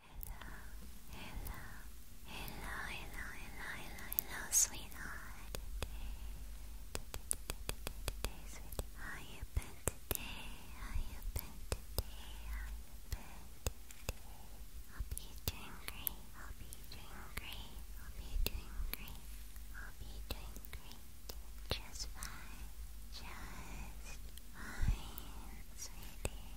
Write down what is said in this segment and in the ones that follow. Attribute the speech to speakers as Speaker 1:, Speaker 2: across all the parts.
Speaker 1: hello, hello, hello, hello, hello, hello, sweetheart. Today, today, today, sweetheart. How you been today? How you been today? How you been today? Hope you're doing great. Hope you're doing great. Hope you're doing great. Hope you're doing great. Just fine. Just fine, sweetie.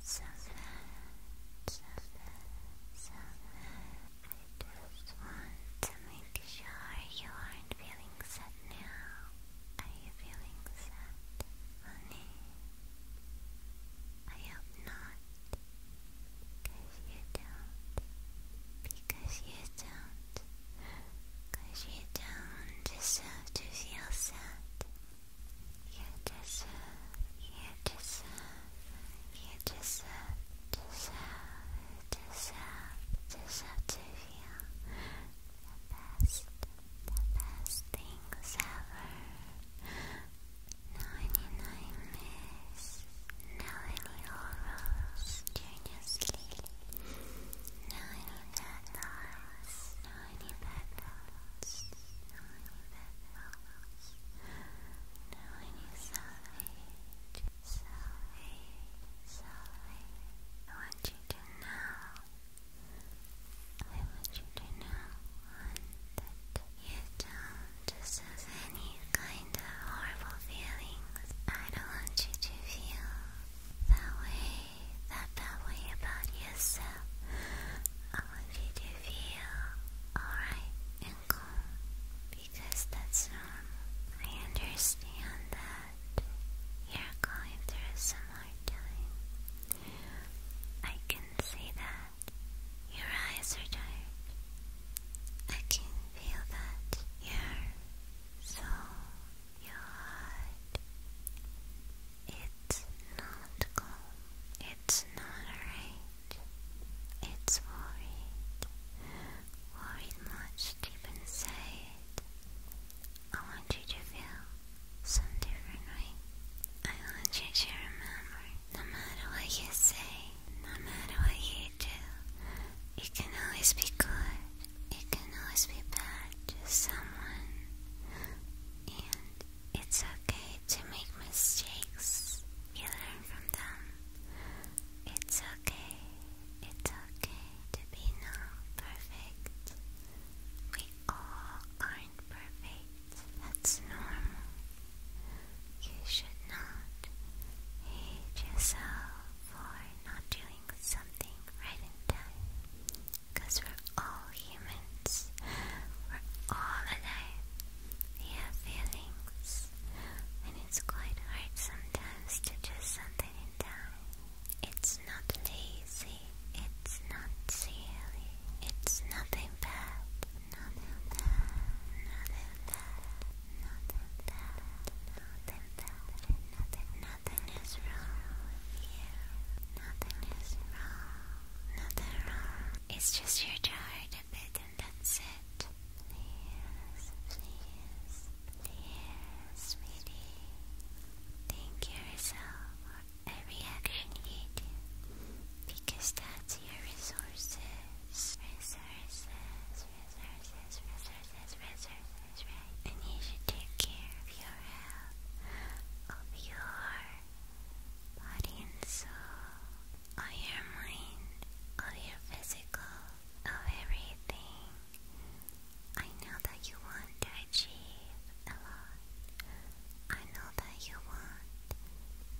Speaker 1: so so so I just want to make sure you aren't feeling sad now. Are you feeling sad, honey? I hope not. Cause you don't. Because you don't. Cause you don't deserve to feel sad. You deserve, you deserve, you deserve, deserve, deserve, deserve to feel the best, the best things ever. Ninety-nine miss, now any horrors during your sleep. Ninety bad thoughts, ninety bad thoughts, ninety bad thoughts. Knowing you salvage, salvage, salvage. I want you to know, I want you to know, that you don't deserve any kind of horrible feelings. I don't want you to feel that way, that bad way about yourself. I want you to feel alright and calm because that's normal. Um, I understand that you're going through some hard time. I can see that your eyes are tired. I can feel that your soul, your heart, it's not calm. It's not alright. It's worried. Worried much deep inside. I want you to feel some different I want you to remember, no matter what you say, no matter what you do, it can always be good. It can always be bad to someone. And it's okay to make mistakes. You learn from them. It's okay. It's okay to be not perfect. We all aren't perfect. That's normal. You should not hate yourself for not doing something right in time. Because we're all human we're all alive. We have feelings, and it's quite hard sometimes to do something in It's not lazy, it's not silly, it's nothing bad, nothing bad, nothing bad, nothing bad, nothing nothing, is wrong with nothing is wrong, nothing wrong. It's just your tired and that's it. Please, please, please, sweetie. Thank yourself for every action you do. Because that's your resources. Resources, resources, resources, resources, right? And you should take care of your health, of your body and soul of your mind, of your physical, of everything. I know that you want to achieve a lot. I know that you want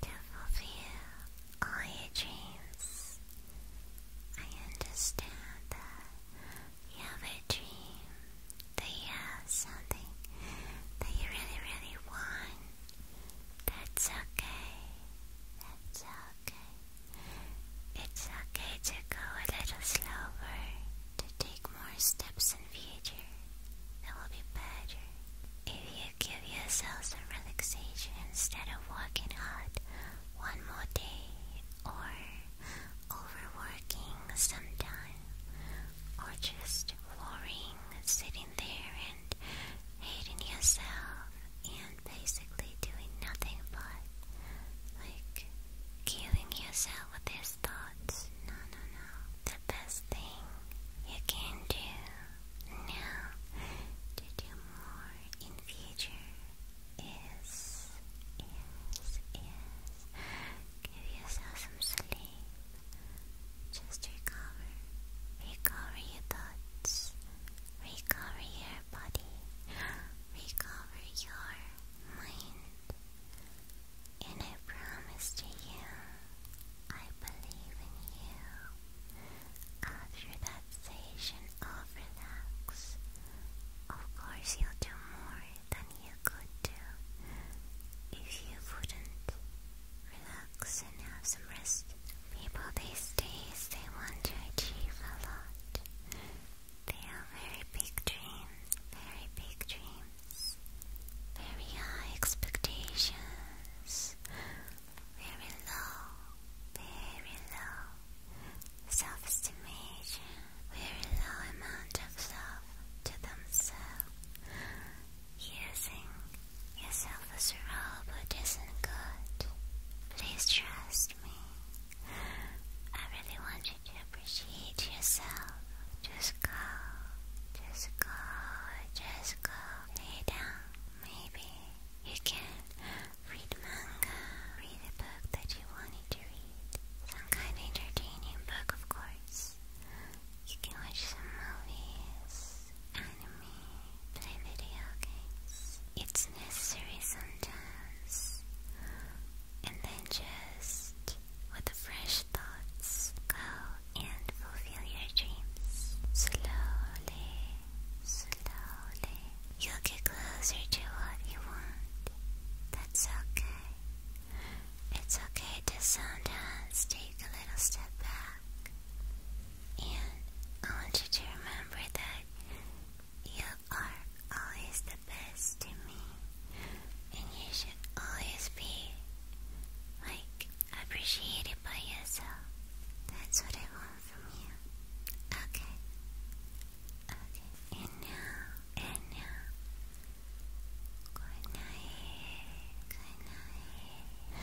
Speaker 1: to fulfill all your dreams. I understand that you have a dream, that you have something that you really, really want. That's okay. That's okay. It's okay to go a little slower, to take more steps in future. That will be better if you give yourself some relaxation instead of working hard one more day or overworking sometime or just worrying, sitting there hating yourself and basically doing nothing but like killing yourself with these thoughts. No, no, no. The best thing you can do now to do more in future is is is give yourself some sleep. Just recover. Recover your thoughts. Recover your body. Recover your mind. And I promise to you, I believe in you. After that session relax, of course you'll do more than you could do if you wouldn't relax and have some rest. People these days, they want to achieve a lot. They have very big dreams, very big dreams, very high expectations, very low, very low self-estimation, very low amount of love to themselves, Using yourself as a robot isn't good. Please trust me. I really want you to appreciate yourself. Just go. Just go. Just go. Lay down. Maybe you can read manga. Read a book that you wanted to read. Some kind of entertaining book, of course. You can watch some movies, anime play video games. It's necessary sometimes. And then just with fresh thoughts, go and fulfill your dreams. Slowly, slowly. You'll get closer to what you want. That's okay. It's okay to sometimes take a little step back. And I want you to remember that you are always the best to me. And you should always be, like, appreciated by yourself. That's what I want from you. Okay. Okay. And now, and now. Good night. Good night.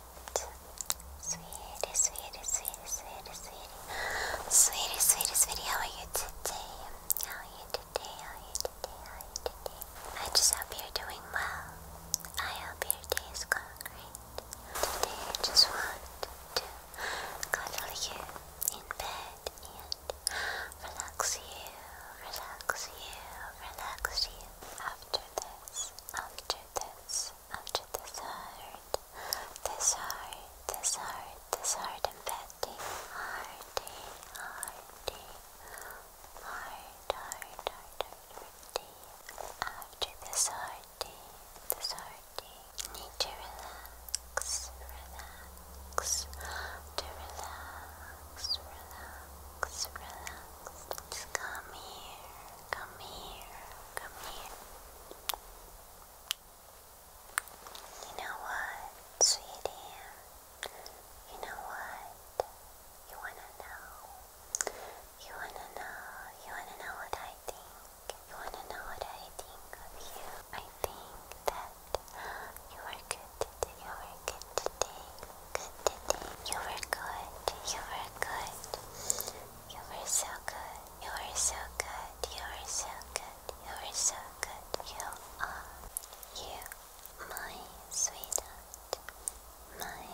Speaker 1: Sweetie, sweetie, sweetie, sweetie, sweetie. Sweetie, sweetie, sweetie, how are you today? How are you today? How are you today? How are you today? I just hope you're doing well. I hope your day is going great. Today I just want to cuddle you in bed and relax you, relax you, relax you. After this, after this, onto this heart, this heart, this heart, this heart, and petty, hearty, hearty, heart, heart, heart, hearty. After this hearty, this hearty, need to relax, relax, to relax, relax, relax. Just come here. Come here, come here. You know what, sweetie? You know what? You wanna know? You wanna know? You wanna know what I think? You wanna know what I think of you? I think that you are good You are good today good today. You were good. You were good. You were so good. You were so good. You were so good. You were so good. You are you, my sweetheart. My,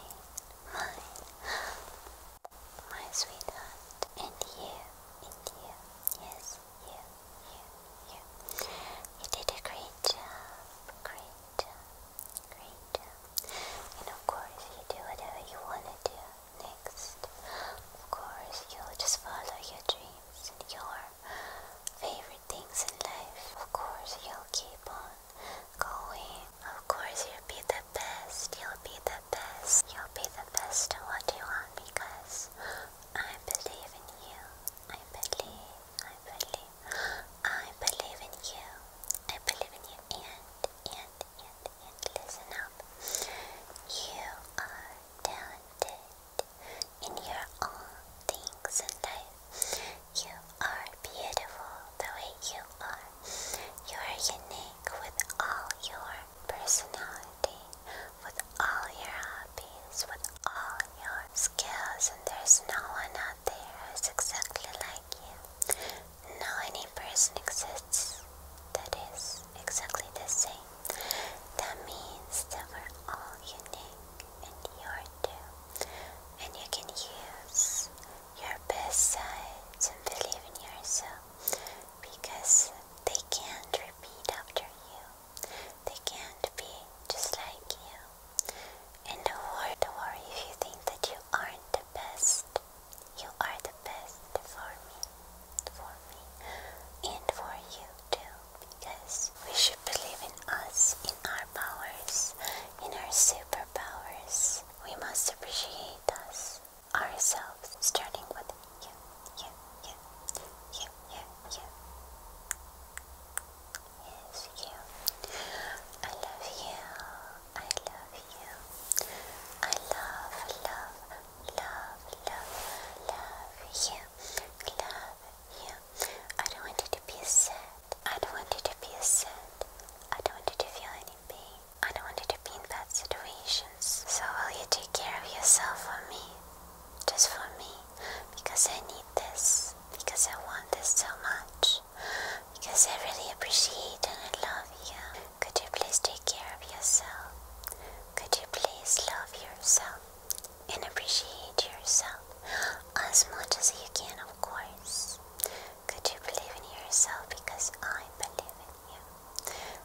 Speaker 1: my, my sweetheart. And you, and you, yes, you, you, you. You did a great job. Great job. Great. And of course, you do whatever you want to do next. Of course, you'll just follow your dreams and your favorite things in life. Of course, you'll keep on going. Of course, you'll be the best. You'll be the best. You'll be the best at what you want because I believe in you. I believe. I believe. I believe in you. I believe in you. And, and, and, and listen up. You are talented in your own things in life. You are beautiful the way you are. You are unique with all your personality, with all your hobbies, with all your skills, and there's no one else there is exactly like you. No any person exists that is exactly the same. That means that we're all unique and you are too. And you can use your best side and believe in yourself because they can't repeat after you. They can't be just like you. And don't worry, if you think that you aren't the best. You are the best for me, for me, and for you too. Because we should believe in us, in our powers, in our superpowers. We must appreciate us, ourselves, starting with you, you, you, you, you, you. Yes, you. I love you. I love you. I love, love, love, love, love you. Love you. I don't want you to be sad. I don't want you to be sad. I don't want you to feel any pain. I don't want you to be in bad situations. So will you take care of yourself for me? Just for me. Because I need this. Because I want this so much because I really appreciate and I love you. Could you please take care of yourself? Could you please love yourself and appreciate yourself as much as you can, of course? Could you believe in yourself because I believe in you?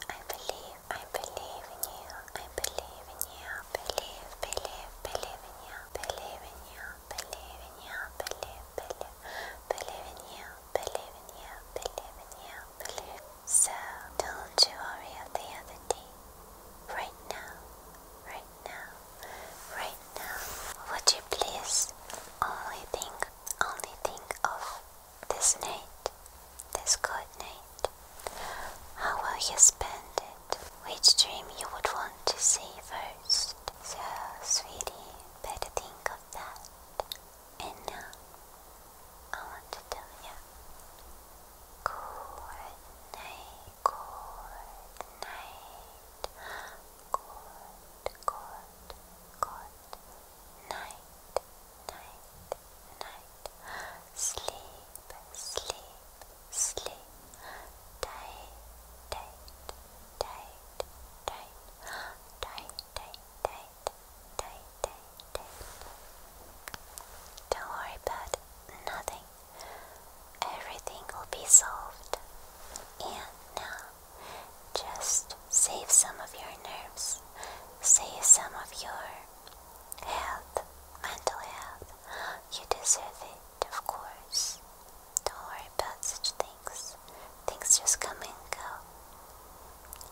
Speaker 1: I believe, I believe in you, I believe in you, believe, believe, believe in you, believe in you, believe in you, believe, believe, believe in you, believe in you, believe in you, believe. So don't you worry of the other day. Right now, right now, right now. Would you please only think, only think of this night, this good night. How will you spend it? Which dream you would want to see first? So, sweetie, better think of that. And now, I want to tell you good night, good night, good, good, good night, night, night. Sleep, sleep, sleep. Tight, tight, tight. Don't worry about nothing. Everything will be solved. And now, just save some of your nerves, save some of your health, mental health. You deserve it, of course. Don't worry about such things. Things just come and go.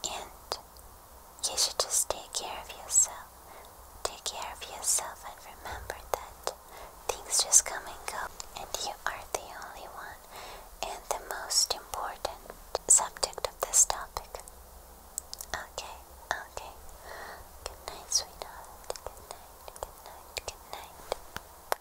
Speaker 1: And you should just take care of yourself. Take care of yourself and remember that things just come and go. And you are the only one and the most important subject of this topic. Okay, okay. Good night, sweetheart. Good night, good night, good night.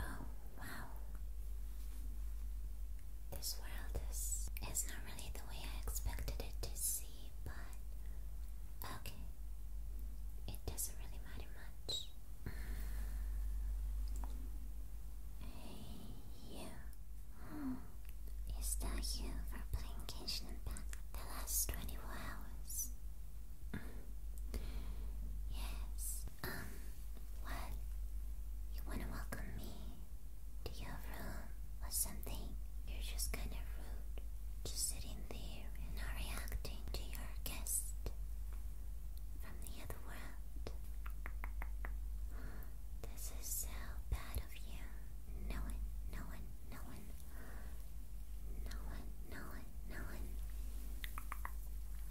Speaker 1: Oh, wow. This world is, is not really the way I expected it to seem but okay, it doesn't really matter much. you. Is that you for playing Genshin Impact the last 24 hours? yes. Um, well, you wanna welcome me to your room or something, you're just kind of rude, just sitting there and not reacting to your guest from the other world. This is so bad of you. No one, no one, no one, no one, no one, no one,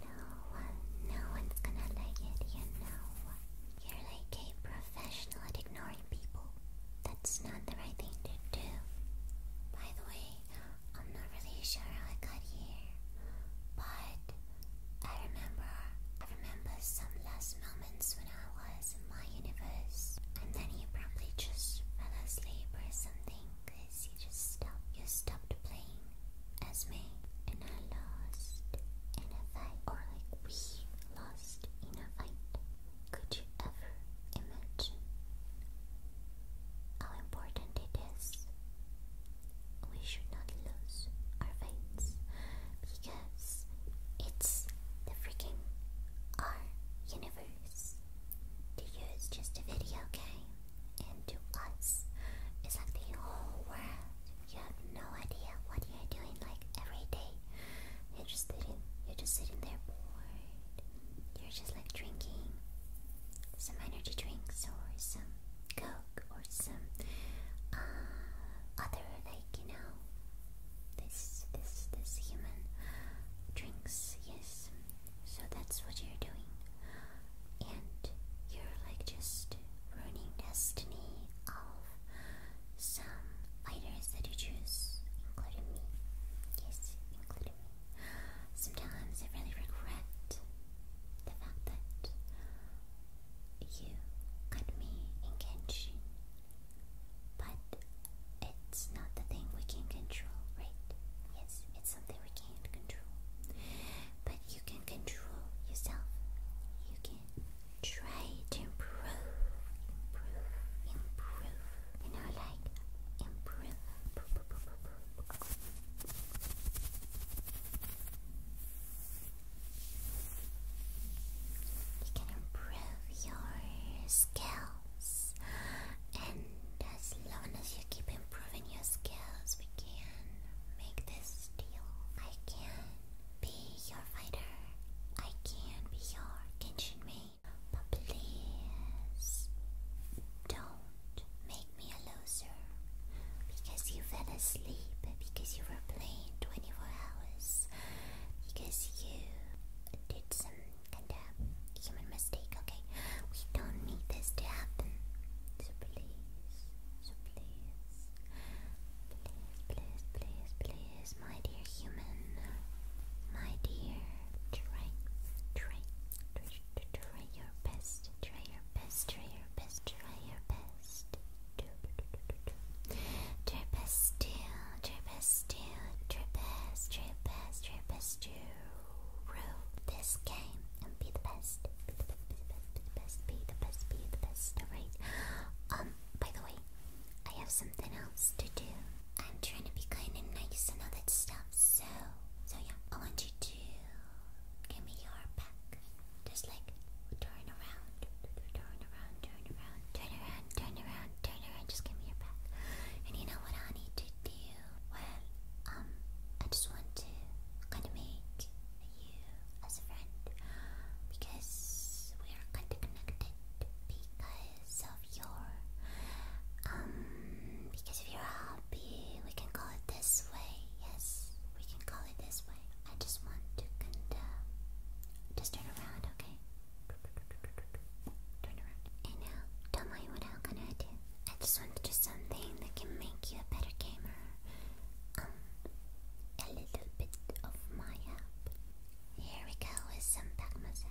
Speaker 1: no one, no one's gonna like it, you know. You're like a professional at ignoring people. That's not the right thing to do. By the way, I'm not really sure how I got here, but I remember I remember some last moments when I was in my universe, and then he probably just fell asleep or something, cause you just stopped. You stopped playing as me, and I lost in a fight, or like we lost in a fight. Could you ever imagine how important it is? We should not lose our veins because it's the freaking our universe. To use just a video game, and to us, it's like the whole world. You have no idea what you're doing, like every day. You're just sitting. You're just sitting there bored. You're just like drinking some energy drinks or some coke or some uh, other like you know this this this human drinks. Yes. So that's what you're doing, and you're like just ruining destiny of some fighters that you choose, including me. Yes, including me. Sometimes I really regret the fact that you got me in Genshin. But it's not the thing we can control, right? Yes, it's something we can't control. But you can control yourself. You can try to improve, improve, improve. You know, like improve. You can improve your skills, and as long as you keep improving your skills, we can make this deal. I can be your fighter. I can be your Genshin maid. But please don't make me a loser. Because you fell asleep. Because you were playing 24 hours. Because you did some kind of human mistake. Okay, we don't need this to happen. So please, so please, please, please, please, please, my dear human, my dear, try, try, try, your best, try your best, try your best, try your best, try best still, try best still, try best, try best, try best to rule this game and be the best, be the best, be the best, be the best, be the best, be the best, alright? Um, by the way, I have something else to do. I'm trying to be kind and nice and all that stuff, so so yeah, I want you to give me your back. Just like turn around, turn around, turn around, turn around, turn around, turn around, just give me your back. And you know what I need to do? Well, um, I just want to kinda make you as a friend because we are kinda connected because because of your um because of your hobby. We can call it this way. Yes, we can call it this way. I just want to just turn around, okay? Turn around. And now, tell me what I'm going I just want to do something that can make you a better gamer. Um, a little bit of my help. Here we go with some back massage.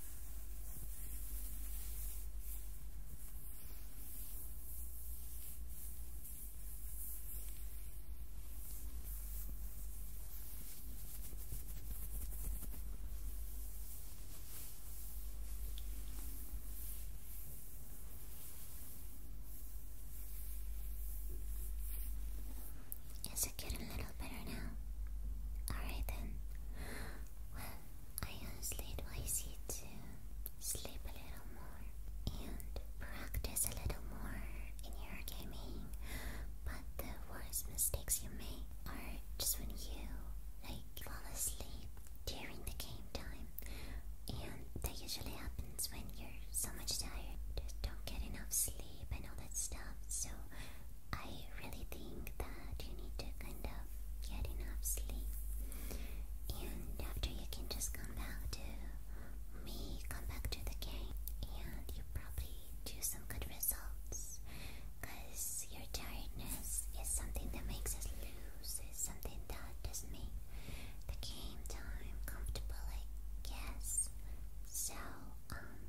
Speaker 1: Is it getting a little better now? Alright then. Well, I honestly advise you to sleep a little more and practice a little more in your gaming. But the worst mistakes you make are just when you like fall asleep during the game time, and that usually happens when you're so much tired, just don't get enough sleep and all that stuff. So I really think that you need to kind of get enough sleep, and after you can just come back to me, come back to the game, and you probably do some good results. Cause your tiredness is something that makes us lose, is something that does make the game time comfortable, I guess. So, um,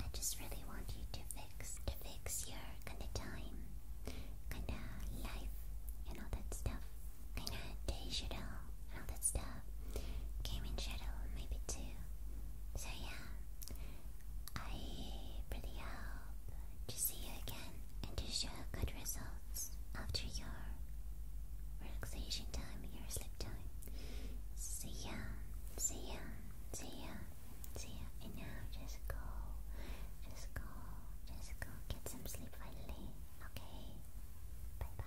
Speaker 1: I just really want you to fix to fix your kinda time, kinda life, and all that stuff. Kinda day shadow, all that stuff. Game in shadow, maybe too. So yeah, I really hope to see you again and to show good results after your relaxation time, your sleep time. See ya, see ya, see ya. See ya. And now just go. Just go. Just go. Get some sleep finally. Okay. Bye bye.